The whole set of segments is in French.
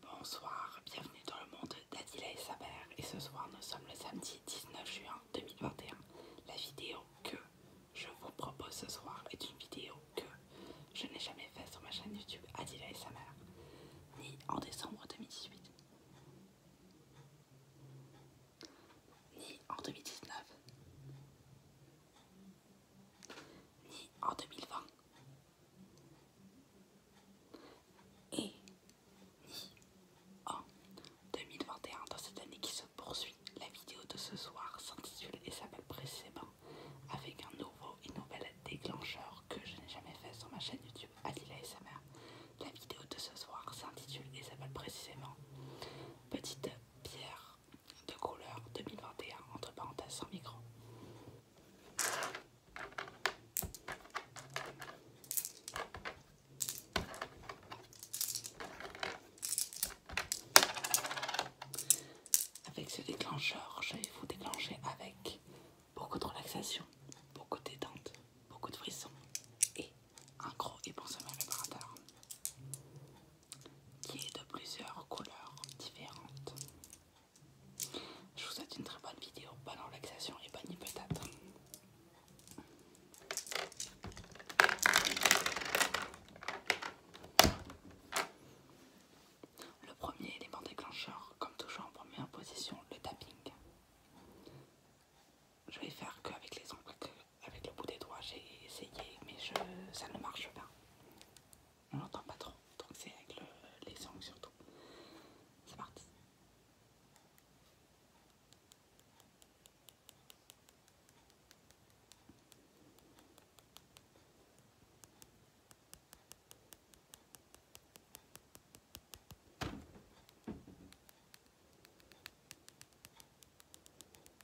Bonsoir, bienvenue dans le monde d'Adila et sa mère et ce soir nous sommes le samedi 19 juin 2021. La vidéo que je vous propose ce soir est une vidéo que je n'ai jamais faite sur ma chaîne YouTube Adila et sa mère ni en décembre 2018, ni en 2019, ni en 2020, et en 2021, dans cette année qui se poursuit, la vidéo de ce soir s'intitule et s'appelle précisément avec un nouveau et nouvel déclencheur que je n'ai jamais fait sur ma chaîne YouTube Alila mère La vidéo de ce soir s'intitule et s'appelle précisément Petite pierre de couleur 2021 entre parenthèses sans micro. Avec ce déclencheur, je vais vous déclencher avec beaucoup de relaxation, beaucoup de détente, beaucoup de frissons et un gros et bon sommeil qui est de plusieurs couleurs différentes. Je vous souhaite une très bonne vidéo, bonne relaxation et bonne être Le premier élément déclencheur, comme toujours en première position, le tapping. Je vais faire qu'avec les ongles, avec le bout des doigts, j'ai essayé, mais ça ne marche pas on n'entend pas trop, donc c'est avec les sangs surtout. parti.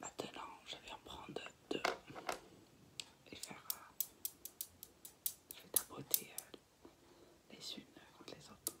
Maintenant, je vais en prendre deux et faire. Je vais tapoter euh, les unes contre les autres.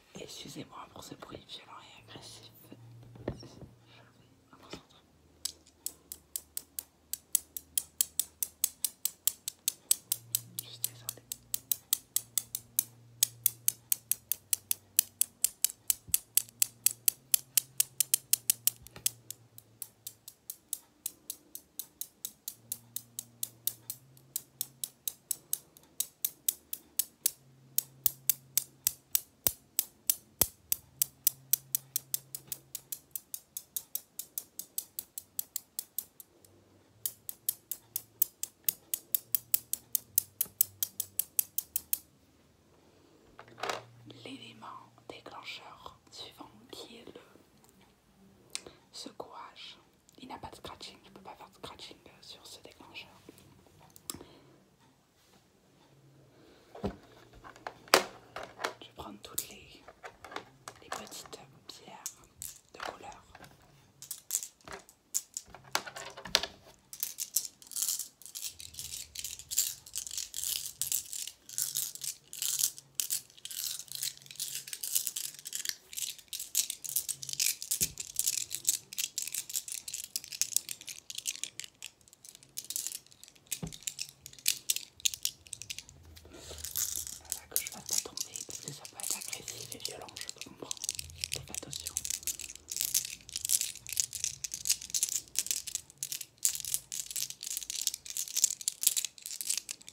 Excusez-moi pour ce bruit violent et agressif. L'élément déclencheur suivant qui est le secouage il n'a pas de scratching, je ne peux pas faire de scratching euh, sur ce déclencheur. Je vais prendre toutes les, les petites pierres de couleur. Voilà que je ne vais pas tomber parce que ça peut être agressif et violent, je comprends. Faites attention.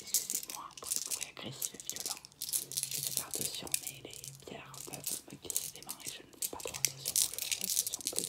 Excusez-moi pour le bruit agressif et violent. Je vais faire attention, mais les pierres peuvent me glisser des mains et je ne fais pas trop attention. Je fais attention plus.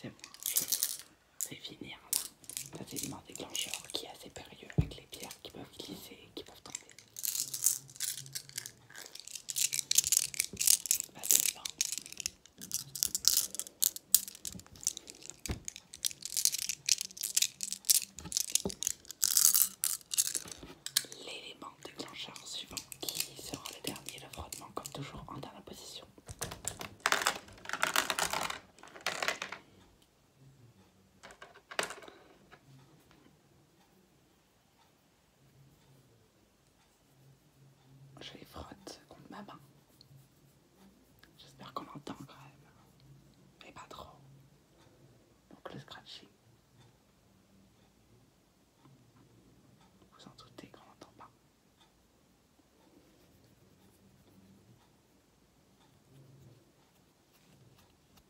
C'est bon, c'est fini. finir là. Ça, c'est des déclencheur qui est assez périlleux avec les pierres qui peuvent glisser, qui peuvent tomber. L'élément déclencheur suivant qui sera le dernier, le frottement comme toujours en dernière position. Je les frotte contre ma main. J'espère qu'on entend quand même. Mais pas trop. Donc le scratching. Vous en doutez qu'on n'entend pas.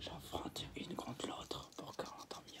J'en une contre l'autre pour qu'on entende bien.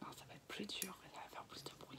Non, ça va être plus dur, ça va faire plus de bruit.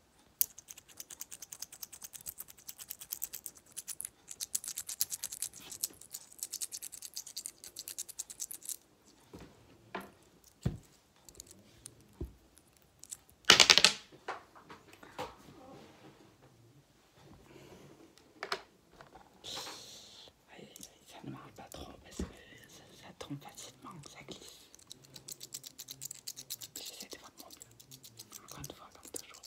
ça ne marche pas trop parce que ça tombe facilement ça glisse encore une fois, comme toujours.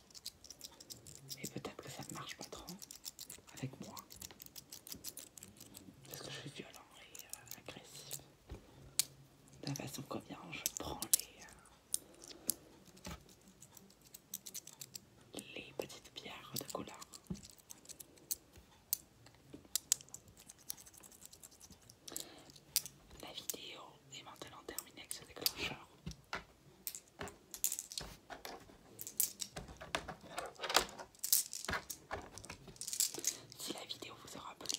Et peut-être que ça ne marche pas trop avec moi. Parce que je suis violent et euh, agressif. De la façon combien je prends les, euh, les petites pierres de couleur. La vidéo est maintenant terminée avec ce déclencheur. Si la vidéo vous aura plu,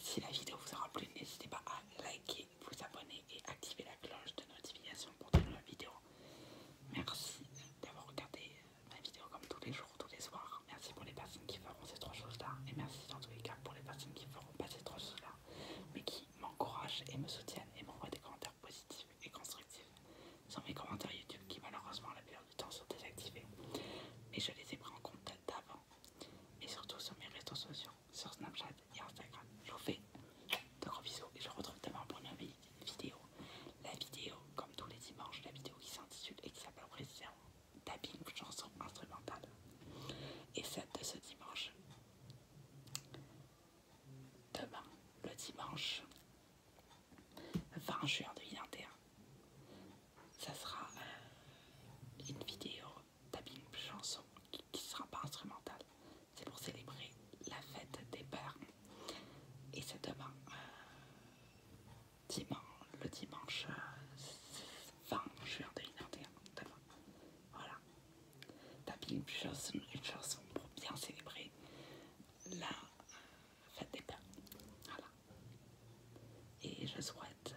Si la vidéo vous aura plu, n'hésitez pas à liker, vous abonner et activer la cloche de notification pour de nouvelles vidéos. Merci d'avoir regardé ma vidéo comme tous les jours, tous les soirs. Merci pour les personnes qui feront ces trois choses-là. Et merci dans tous les cas pour les personnes qui feront pas ces trois choses-là, mais qui m'encouragent et me soutiennent et m'envoient des commentaires positifs et constructifs. Sur mes commentaires YouTube qui malheureusement la plupart du temps sont désactivés. Mais je les ai pris en compte d'avant. Et surtout sur mes réseaux sociaux, sur Snapchat et Instagram. Je vous fais de gros bisous et je vous retrouve demain pour une vidéo vidéo. La vidéo, comme tous les dimanches, la vidéo qui s'intitule et qui s'appelle précisément chanson instrumentale. Et celle de ce dimanche, demain, le dimanche 20 juin 2021, ça sera euh, une vidéo tapping chanson qui ne sera pas instrumentale c'est pour célébrer la fête des pères. Et c'est demain, euh, le dimanche 20 euh, juin 2021. Demain. Voilà. Tapis une chanson, une chanson pour bien célébrer la euh, fête des pères. Voilà. Et je souhaite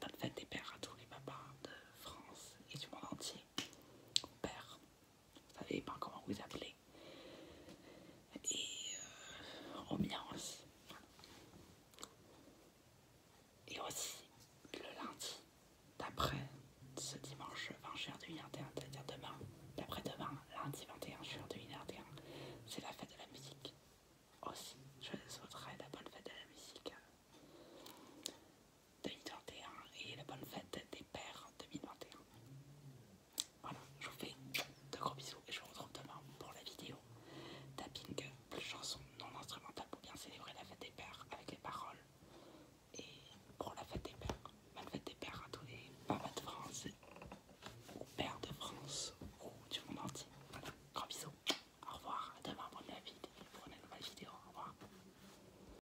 bonne fête des pères à tous les papas de France et du monde entier. Père, savez pas comment vous appelez. Et mien euh, aussi. Et aussi, le lundi d'après ce dimanche 20 juin 2021, c'est-à-dire demain, d'après-demain, lundi 21 juin 2021, c'est la fête de la musique. Aussi, je souhaiterais la fête de la musique 2021 et la bonne fête des pères 2021. Voilà, je vous fais de gros bisous et je vous retrouve demain pour la vidéo tapping plus chanson non instrumentale pour bien célébrer la fête des pères avec les paroles. Et pour la fête des pères, bonne fête des pères à tous les papas de France ou pères de France ou du monde entier. Voilà, gros bisous. Au revoir, à demain pour une nouvelle vidéo. Au revoir.